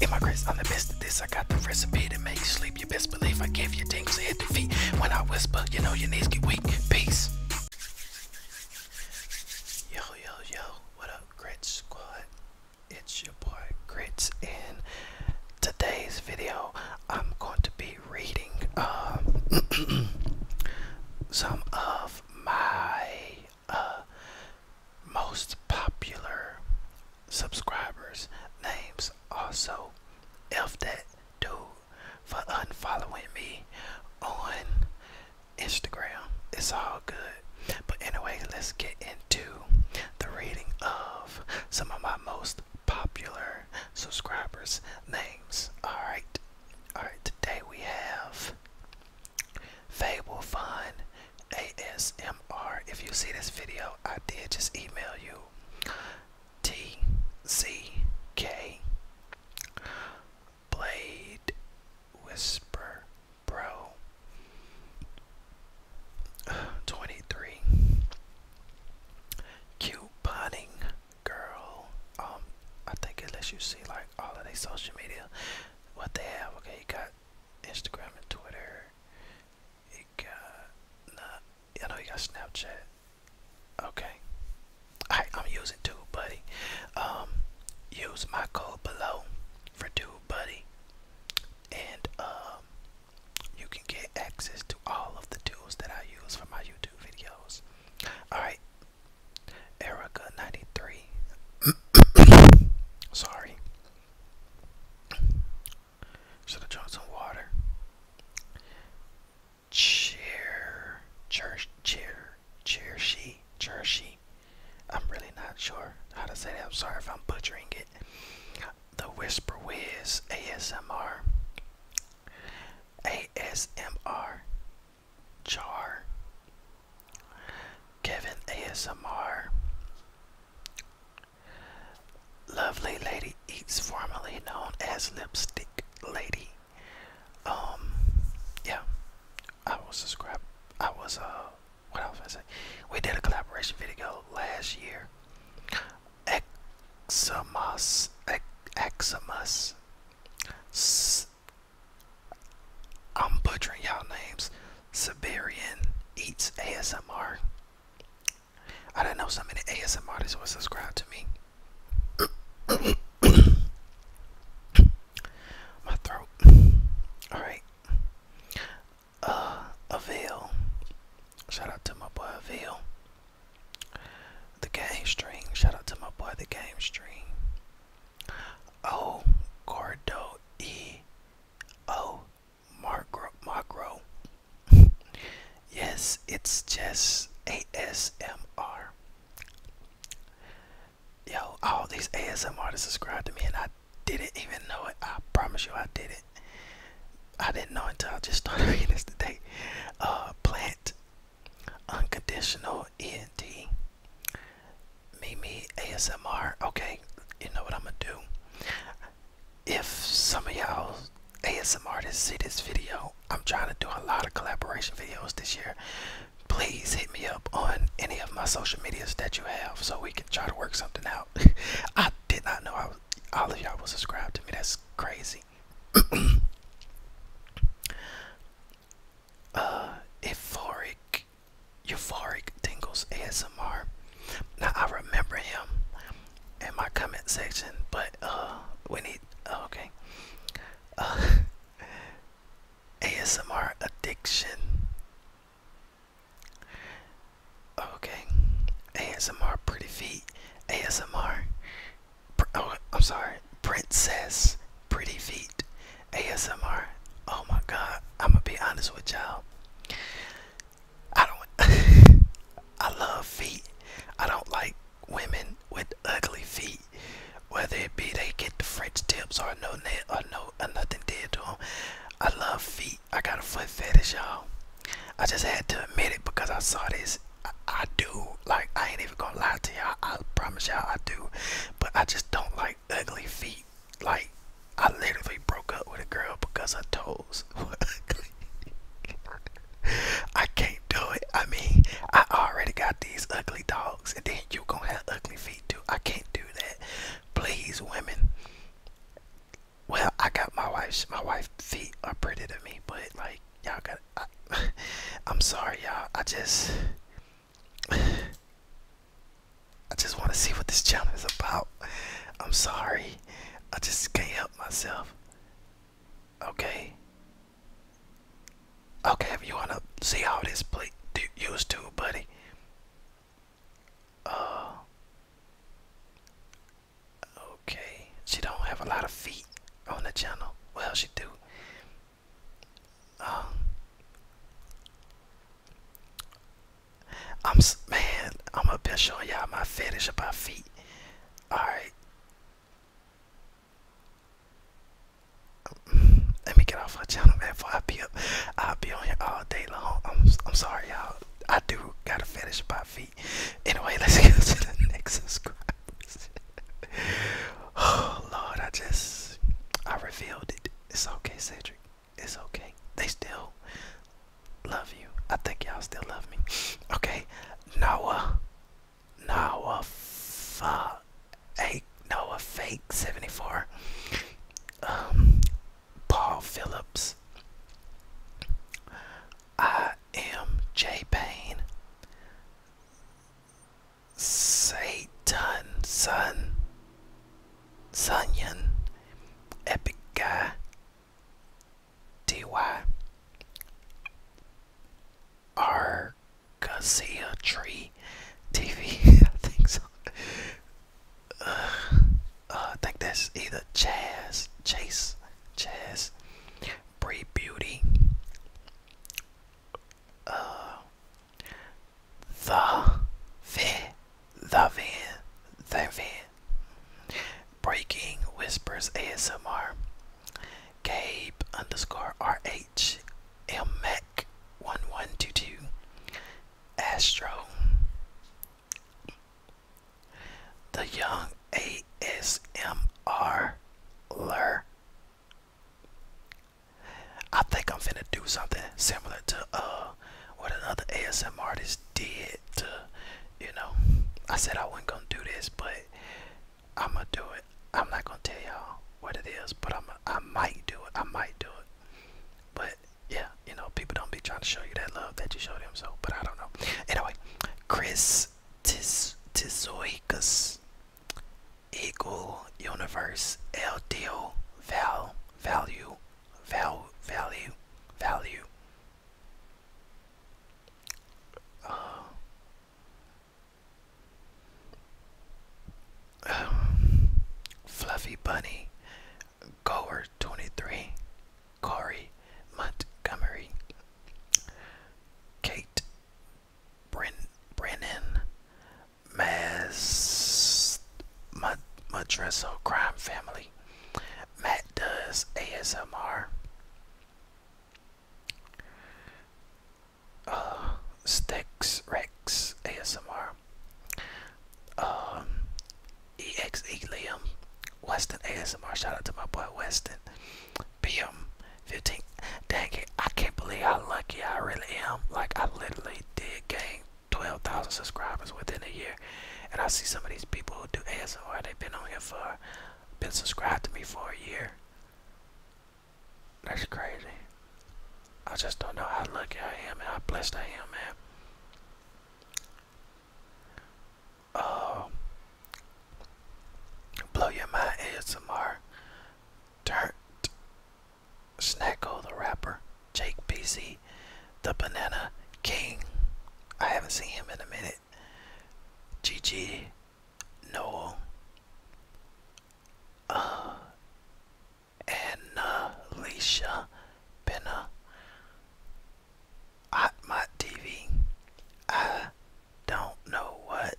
Immigrants on the midst of this, I got the recipe to make you sleep. You best believe I give you things hit the feet. When I whisper, you know your knees get weak. Peace. Yo, yo, yo, what up, Grit Squad? It's your boy Grits. In today's video, I'm going to be reading um, some of my uh, most popular subscribers names also F that dude for unfollowing me on Instagram. It's all good. But anyway, let's get into the reading of some of my most popular subscribers names. Alright. Alright, today we have they will find ASMR. If you see this video, I did just email you T Z K, Blade Whisper Pro 23 Couponing Girl. Um, I think it lets you see like all of their social media, what they have. Okay, you got Instagram and Twitter. You got nah, I know you got Snapchat. Okay. I am using too, buddy. Um, use my code below for dude buddy. And um, you can get access to all of the tools that I use for my YouTube videos. Alright. Erica 93. Sorry. Should have drunk some water. Cheer, cheer, cheer, cheer, she, cheer, she. I'm really not sure how to say that. I'm sorry if I'm butchering it. The Whisper Wiz ASMR. ASMR. Jar. Kevin ASMR. Lovely Lady Eats, formerly known as Lipstick Lady. Um, yeah, I will subscribe. I was, uh, what else I say? We did a collaboration video last year. Examus, Ex I'm butchering y'all names. Siberian Eats ASMR. I didn't know so many ASM artists would subscribe to me. My throat. Alright. Uh Avail. Shout out to my boy Avail. The game stream. Shout out to my boy the game stream. O oh, Gordo E O oh, Margro Magro. yes, it's just ASMR. Yo, all these ASMR to subscribe to me and I didn't even know it. I promise you I didn't. I didn't know until I just started reading this today. Uh plant unconditional ENT me, me, ASMR. Okay, you know what I'm gonna do. If some of y'all ASM artists see this video, I'm trying to do a lot of collaboration videos this year. Please hit me up on any of my social medias that you have so we can try to work something out. I did not know I all of y'all was subscribed to me. That's crazy. Uh, euphoric, euphoric tingles ASMR. Now I remember him in my comment section, but uh, we need oh, okay. Uh, ASMR addiction. Okay, ASMR pretty feet. ASMR. Oh, I'm sorry. Princess Pretty Feet ASMR. Oh my god, I'm gonna be honest with y'all. I don't, I love feet. I don't like women with ugly feet. Whether it be they get the French tips or no nail or no or nothing did to them. I love feet. I got a foot fetish, y'all. I just had to admit it because I saw this. I do. Like, I ain't even gonna lie to y'all. I promise y'all I do. But I just don't like ugly feet. Like I literally broke up with a girl because her toes were ugly. I can't do it. I mean, I already got these ugly dogs, and then you gonna have ugly feet too. I can't do that. Please, women. Well, I got my wife's. My wife's feet are pretty to me, but like y'all got. I, I'm sorry, y'all. I just I just want to see what this channel is about. I'm sorry. I just can't help myself. Okay. Okay, if you wanna see how this play do used to, buddy. Uh okay. She don't have a lot of feet on the channel. Well she do. Um, I'm man. I'm up here showing y'all my fetish about feet. All right. Let me get off my channel, Before I be I'll be on here all day long. I'm I'm sorry, y'all. I do got a fetish about feet. Anyway, let's get to the next subscribe oh Lord, I just I revealed it. It's okay, Cedric. It's okay. They still love you. I think y'all still love me. Okay, Noah, Noah, fuck, hey, Noah, fake seventy four. Um, Paul Phillips. I am Jay Payne. Satan, Sun, Sunyan, Epic Guy, DY, Arcasia Tree TV. I think so. Uh, I think that's either Chaz, Chase, Chaz, Bree Beauty, the van, the van, the van. Breaking Whispers ASMR. Gabe underscore R H, L MMAC one one two two Astro The Young ASMR I think I'm finna do something similar to uh what another ASMR artist did you know I said I wasn't gonna do this but I'ma do it. I'm not gonna tell y'all what it is but I'm I might do it. I might do it. But yeah, you know, people don't be trying to show you that love that you show them so but I don't know. Anyway, Chris Tis Tizoikas equal universe LDO val value val value value uh, Fluffy Bunny Goer 23 Corey Montgomery Kate Bren, Brennan Mas, Mad, Madresso crime family. Matt does ASMR. Sticks uh, Stex Rex ASMR. Um, EXE Liam. Weston ASMR. Shout out to my boy Weston. PM 15. Dang it, I can't believe how lucky I really am. Like, I literally did gain 12,000 subscribers within a year. And I see some of these people who do ASMR, they've been on here for, been subscribed to me for a year. That's crazy. I just don't know how lucky I am and how blessed I am, man. Uh, Blow Your Mind ASMR, Dirt, Snacko the Rapper, Jake PC, The Banana King. I haven't seen him in a minute. GG, Noel, uh, Annalicia uh, Benna, Hotmot TV, I don't know what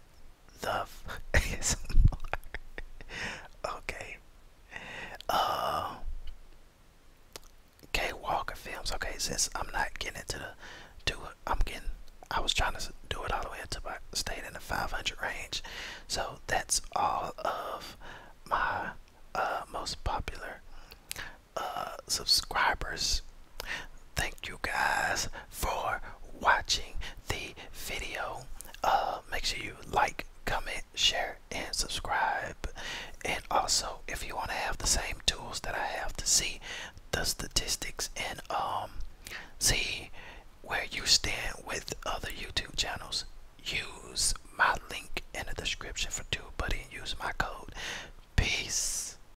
the f okay. Uh, K Walker Films. Okay, since I'm not getting into the do it, I'm getting. I was trying to do it all the way up to my stayed in the 500 range. So that's all of my uh, most popular uh, subscribers thank you guys for watching the video uh make sure you like comment share and subscribe and also if you want to have the same tools that i have to see the statistics and um see where you stand with other youtube channels use my link in the description for tubebuddy and use my code peace